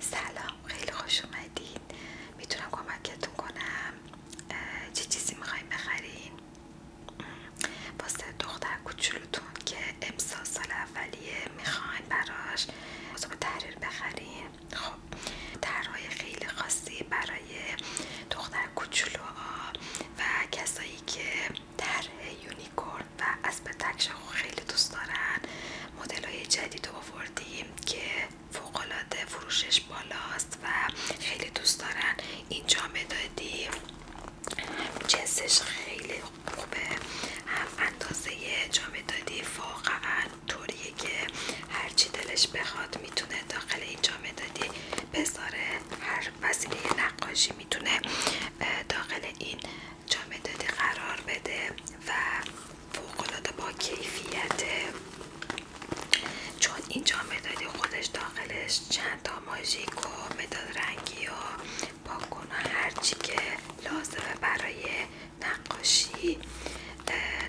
سلام خیلی خوش اومدید میتونم کمکتون کنم چه چیزی میخوایم بخرین واسه دختر کوچولوتون که امسال سال اولیه میخواین براش موضوع تحریر بخرین خب طرحهای خیلی خاصی برای دختر کوچولوها و کسایی که طرح یونیکورن و اسب رو خیلی دوست دارن مدل های جدید آوردیم که فوقالعاده فروشش بالاست و خیلی دوست دارن اینجا مدادی جنسش خیلی خوبه هم اندازه جامعه دادی واقعا طوریه که هرچی دلش بخواد میتونه داخل این جامعه دادی بذاره هر وسیله نقاشی میتونه داخل این جامعه دادی قرار بده و فوقلاده با کیفیته چون این جامعه خودش داخلش چند تا ماژیک و مداد رنگی و پاکون و هرچی که لازمه برای نقاشی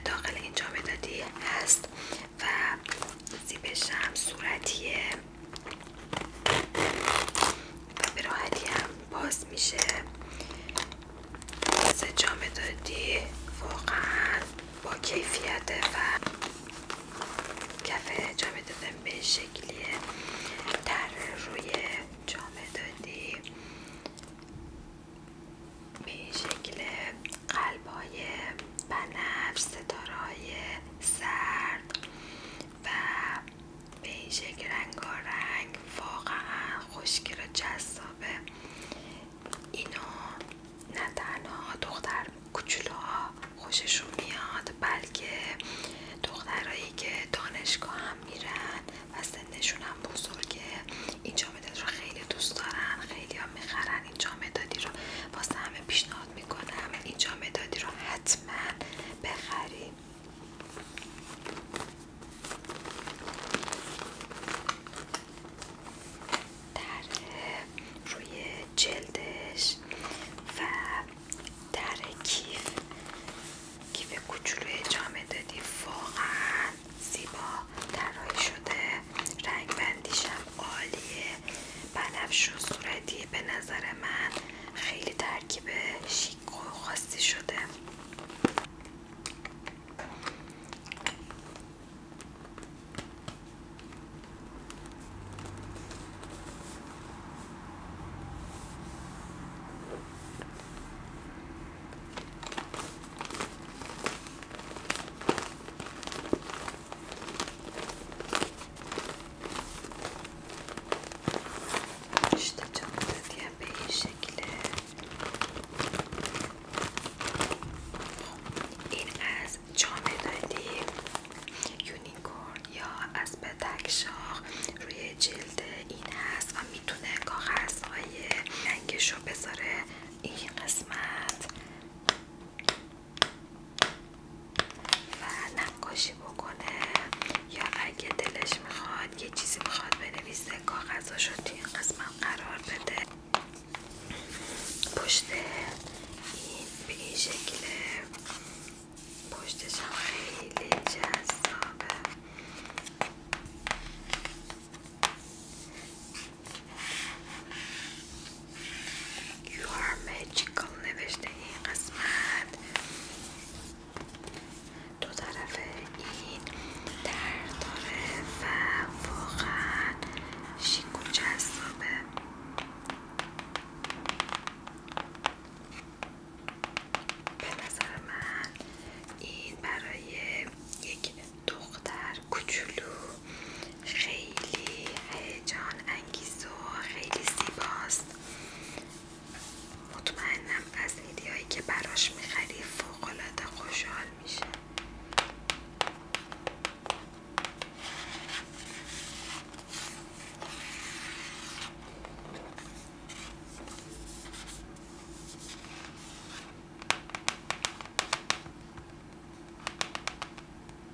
داخل این جامعه هست و زیبش هم صورتیه و به راحتی هم باز میشه از جامدادی دادی واقعا با کیفیت و کفه جام به شکلی در روی جامدادی به شکل قلب های بنفش ستاره سرد و بهشه رنگ رنگارنگ واقعا خوشگل و جذابه اینو نه تنها دختر کوچولوها خوششون میاد بلکه دخترایی که دانشگاه هم میرن و سنشون هم بزرگه این جامداد رو خیلی دوست دارن خیلی هم میخرن این جامدادی رو واسه همه پیشنهاد همه این جامدادی رو حتما بخریم در روی جلدش و در کیف کیف کوچولوی اجامه دادی واقعا زیبا طراحی شده رنگ بندیشم عالیه بنفش صورتی به نظر من خیلی ترکیب شیک و خاصی شده İşte به da diye این şekilde این از جامدادی یونیکورن یا از بدک روی جلد این هست و میتونه کاغذهای رنگش رو بذاره این قسمت و نقاشی بکنه یا اگه دلش میخواد یه چیزی میخواد بنویسه کاغذاشو توی این قسمت قرار بده پشت این به این شکله پشتش خیلی یار are نوشته این قسمت دو طرف این در داره و واقعا شیک به نظر من این برای یک دختر کوچولو خیلی هیجان انگیز و خیلی زیباست مطمئنم از ویدیوهایی که براش میخری فوقالعاده خوشحال میشه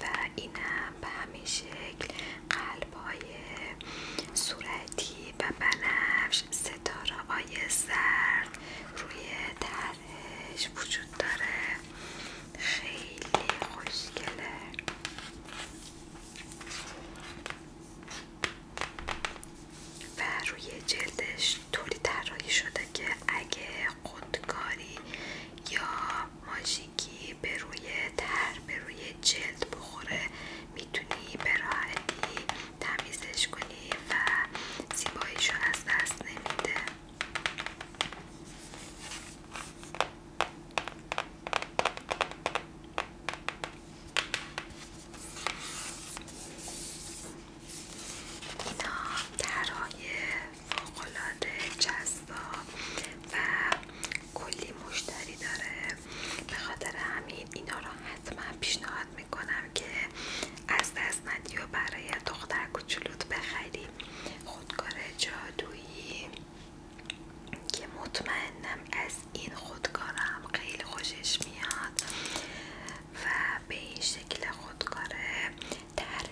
و اینم به همین شکل قلب صورتی و بنفش ستاره های زرد روی طرحش وجود داره خیلی خوشگله و روی جلدش طوری طراحی شده که اگه خودکاری یا ماشین کی به روی تر به روی جلد بخوره میتونی به راحتی تمیزش کنی و زیباییش از دست نمیده اینا درهای فوقلاده جذاب و کلی مشتری داره به خاطر همین اینا رو حتما پیشنهاد میکنم که از دست ندی و برای دختر کوچولوت بخری خودکار جادویی که مطمئنم از این خودکارم خیلی خوشش میاد و به این شکل خودکار طرح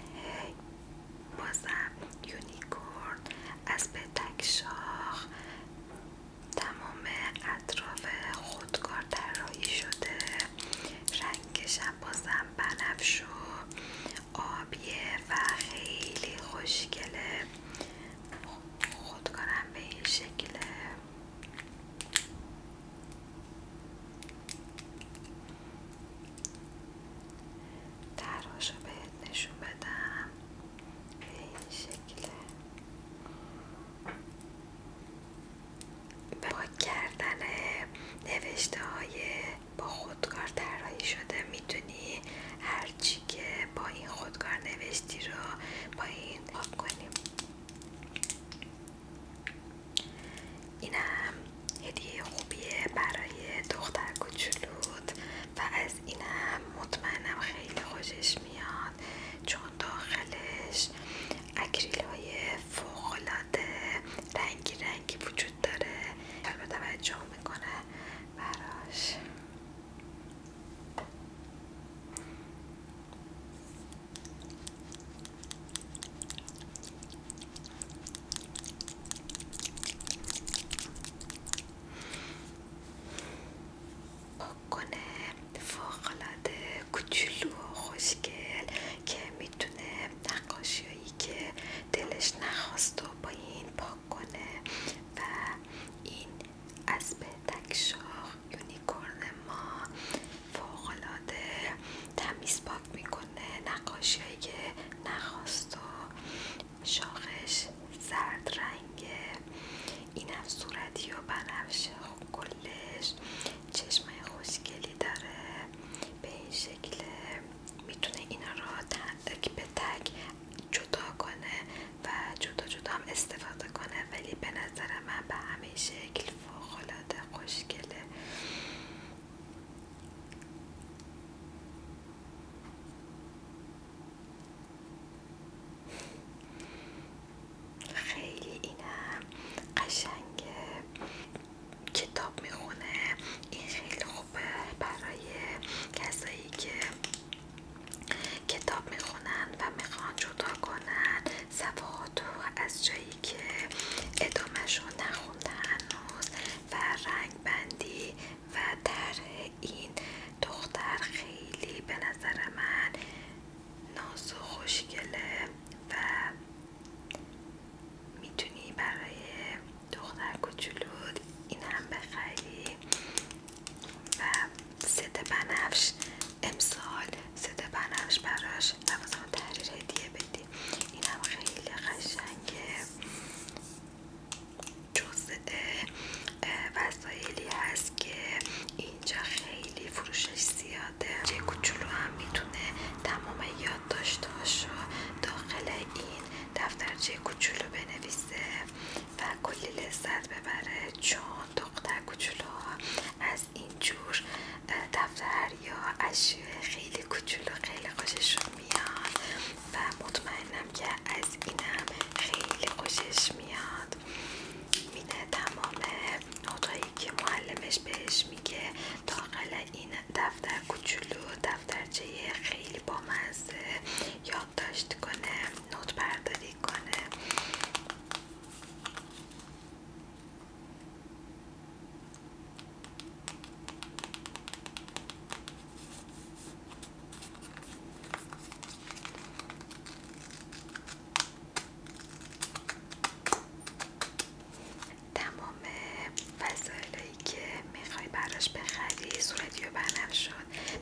بازم یونیکورن از پتک شاخ تمام اطراف خودکار طراحی شده رنگش هم بازم بنفش و آبیه و خیلی خوشگله خودکارم به این شکله درهاشو بهت نشون بدم به این شکله کردن نوشته های با خودکار طراحی شده میتونی هرچی که با این خودکار نوشتی رو با این کنیم اینم هدیه خوبیه برای دختر کوچولوت و از اینم مطمئنم خیلی خوشش میاد چون داخلش اکریل های فوقلاده رنگی رنگی وجود داره و توجه میکنه براش کنه فوقلاده کوچولو و خوشگل که میتونه نقاشیهایی که دلش نخواست و با این پاک کنه و این از به تکشاخ یونیکورن ما فوقلاده تمیز پاک میکنه نقاشی که نخواست شاخش زرد رنگه این هم صورتی و بنفش کلش چشمای خوشگلی داره به این شکل میتونه اینا را تک به تک جدا کنه و جدا جدا هم استفاده کنه ولی به نظر من به همه شکل فوقالعاده خوشگله خیلی اینم قشنگ کتاب میخونه این خیلی خوبه برای کسایی که کتاب میخونن و میخوان جدا کنن صفحات از جایی که ادامهش رو نخونده هنوز و رنگ بندی و در این دختر خیلی به نظر من ناز و خوشگله و میتونی برای دختر کوچولود این هم بخری و ست بنفش امسال صدا بنفش براش لوازم تحریر هدیه بدیم این هم خیلی قشنگه جزء وسایلی هست که اینجا خیلی فروشش زیاده چه کوچولو هم میتونه تمام یادداشتهاش رو داخل این دفترچه کوچولو بنویسه و کلی لذت ببره چون دختر کوچولو از این جور دفتر یا اشیاء خیلی کوچولو خیلی خوششون میاد و مطمئنم که از اینم خیلی خوشش میاد میده تمام نوتایی که معلمش بهش میگه تاقل این دفتر کوچولو دفترچه خیلی بامزه یادداشت کنه نوت برداری کنه تمام وسایلی که میخوای براش بخری صورتی و بنفش شد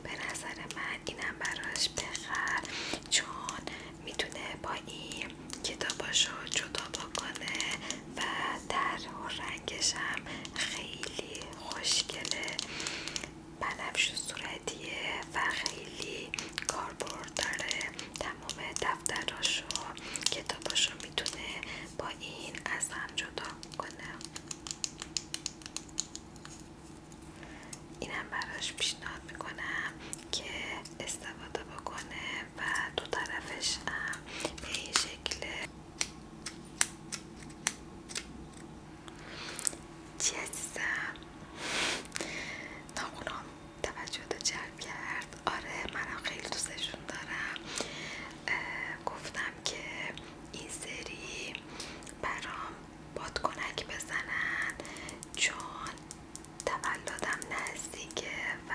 به نظر من اینم براش بخر چون میتونه با این کتاباشو جدا کنه و در رنگش هم خیلی خوشگله بنفش صورتیه و خیلی کاربرد داره تمام دفتراشو کتاباشو میتونه با این از هم جدا کنه اینم براش پیشنهاد میکنم که استفاده بکنه و دو طرفش هم به این شکل چی عزیزم توجه جلب کرد آره منم خیلی دوستشون دارم گفتم که این سری برام بادکنک بزنن چون تولدم نزدیکه و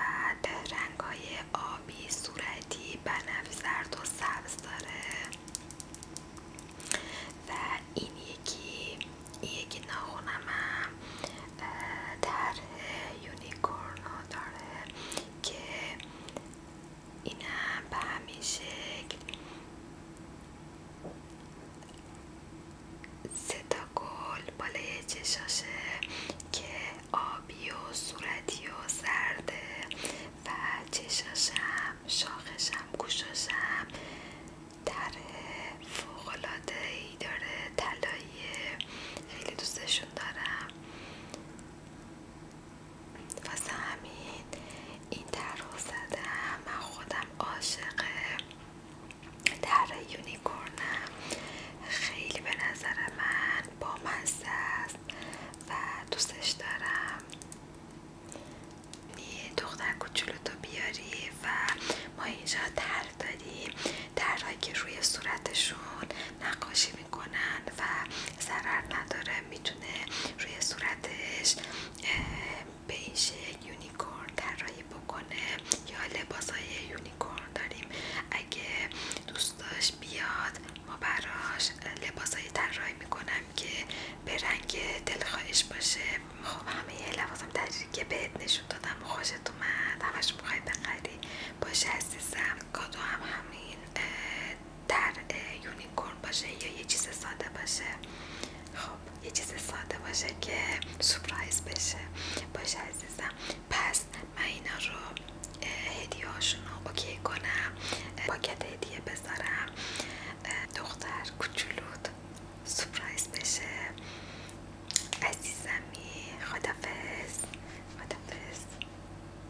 رنگ های آبی صورتی بنفش زرد و سبز داره و این یکی این یکی ناخونمم طرح یونیکورن داره که اینم هم به همین شکل سه گل بالای چشاشه که آبی و صورتی و زرده و چشاشم شاخشم گوشاشم در فوقلاده ای داره تلاییه خیلی دوستشون دارم واسه همین این طرح زدم من خودم عاشق در یونیکورنم خیلی به نظر من با است و دوستش دارم یه دختر کوچولو تو بیاری و ما اینجا تر داریم درهایی که روی صورتشون نقاشی میکنن و ضرر نداره روی صورتش به این کور یونیکورن طراحی بکنه یا لباس های یونیکورن داریم اگه دوستاش بیاد ما براش لباس های طراحی میکنم که به رنگ دلخواهش باشه خب همه لباسم تجربه که بهت نشون دادم و خوشت اومد همش میخوای بخری باشه عزیزم کادو هم همین در یونیکورن باشه یا یه چیز ساده باشه خب یه چیز ساده باشه که سپرایز بشه باشه عزیزم پس من اینا رو هدیه رو اوکی کنم پاکت هدیه بذارم دختر کوچولوت سپرایز بشه عزیزمی خدافز خدافز